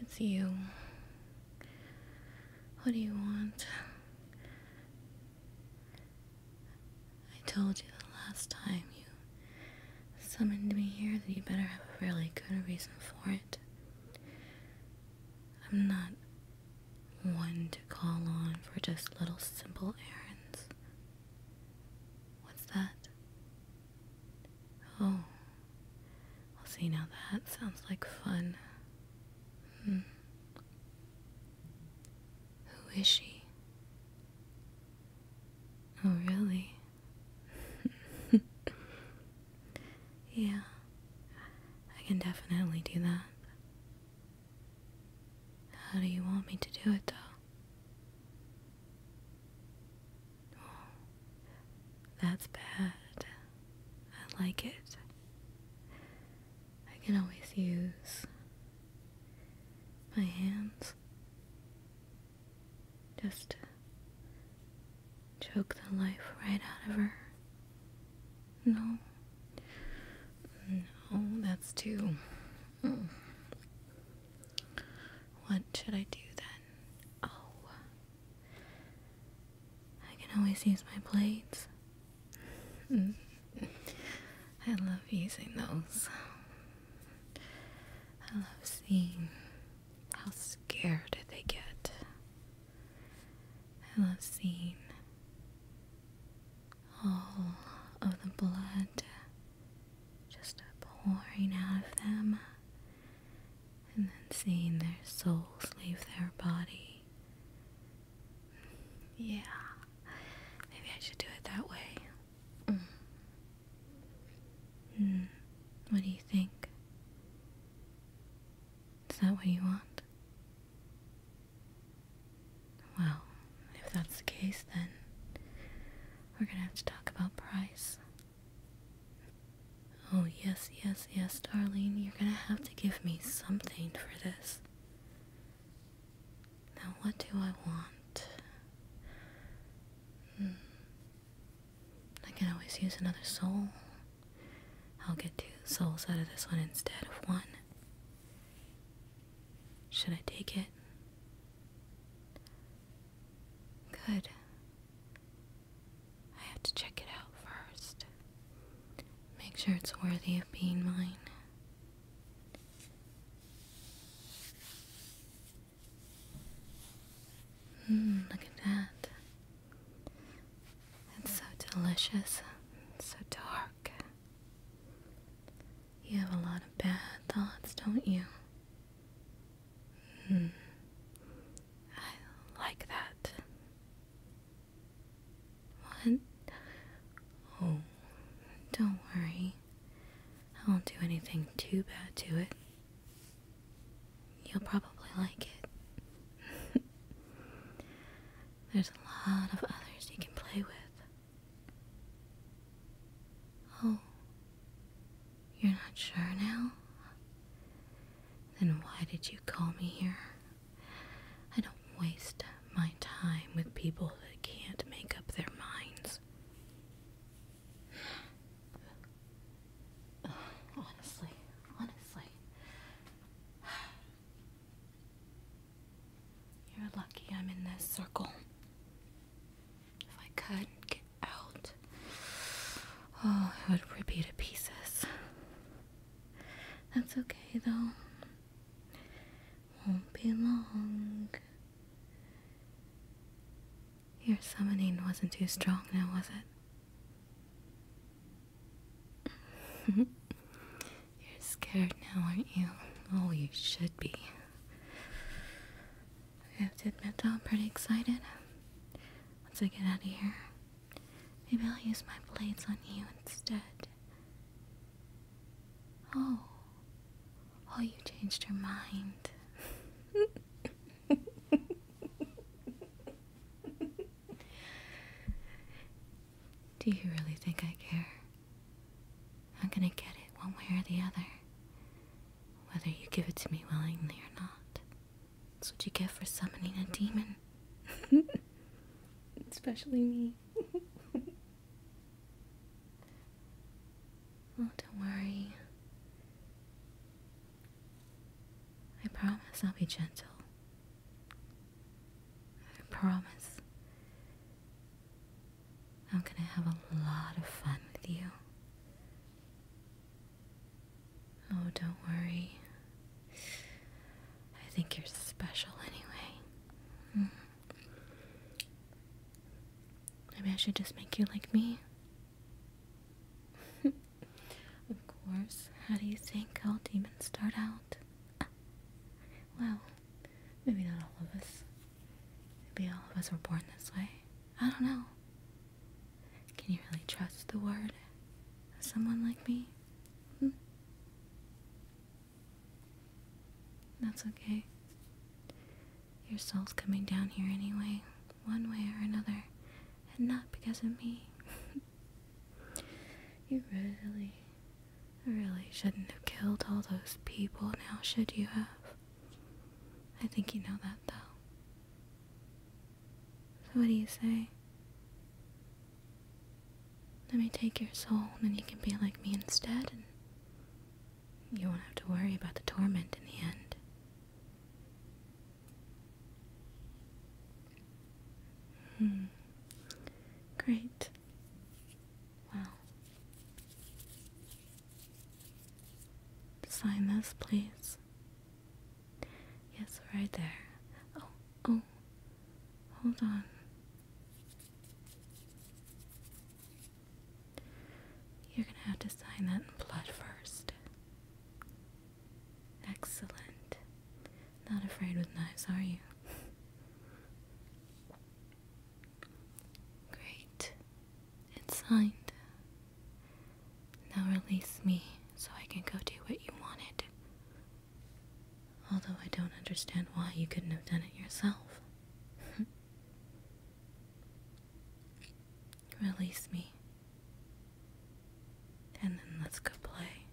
It's you. What do you want? I told you the last time you summoned me here that you better have a really good reason for it. I'm not one to call on for just little simple errands. What's that? Oh, I'll see now that sounds like fun. Hmm. Who is she? Oh, really? yeah, I can definitely do that. How do you want me to do it, though? That's bad. I like it. I can always use my hands. Just to choke the life right out of her. No. No, that's too. Mm. What should I do then? Oh. I can always use my blades. Mm. I love using those. I love seeing how scared they get. I love seeing all of the blood just a pouring out of them, and then seeing their souls leave their body. Yeah, maybe I should do it that way. Mm. Mm. What do you think? Is that what you want? Well, if that's the case, then we're gonna have to talk about price. Oh, yes, yes, yes, darling. You're going to have to give me something for this. Now, what do I want? Hmm. I can always use another soul. I'll get two souls out of this one instead of one. Should I take it? Good. I have to check it out first. Make sure it's worthy of being mine. Mmm, look at that. It's so delicious. so dark. You have a lot of bad thoughts, don't you? Hmm. I like that. What? Oh, don't worry. I won't do anything too bad to it. You'll probably like it. There's a lot of others you can play with. Oh, you're not sure now? Then why did you call me here? I don't waste my time with people that can't make up their minds. honestly, honestly. You're lucky I'm in this circle. If I could get out. Oh, it would rip you to pieces. That's okay though. Won't be long. Your summoning wasn't too strong now, was it? You're scared now, aren't you? Oh, you should be. I have to admit I'm pretty excited. Um, once I get out of here, maybe I'll use my blades on you instead. Oh. Oh, you changed your mind. Do you really think I care? I'm gonna get it one way or the other whether you give it to me willingly or not. That's what you get for summoning a demon. Especially me. oh, don't worry. I promise I'll be gentle. I promise I'm gonna have a lot of fun with you. Oh, don't worry. I think you're special anyway. Maybe I should just make you like me. of course. How do you think all demons start out? well, Maybe not all of us. Maybe all of us were born this way. I don't know. Can you really trust the word of someone like me? Hmm? That's okay. Your soul's coming down here anyway, one way or another, and not because of me. you really, really shouldn't have killed all those people now, should you have? I think you know that though. So what do you say? Let me take your soul, and then you can be like me instead, and you won't have to worry about the torment in the end. Hmm. Great. Wow. Sign this, please. Yes, right there. Oh, oh. Hold on. You're gonna have to sign that in blood first. Excellent. Not afraid with knives, are you? Great. It's signed. Now release me so I can go do what you wanted. Although I don't understand why you couldn't have done it yourself. release me. And then let's go play.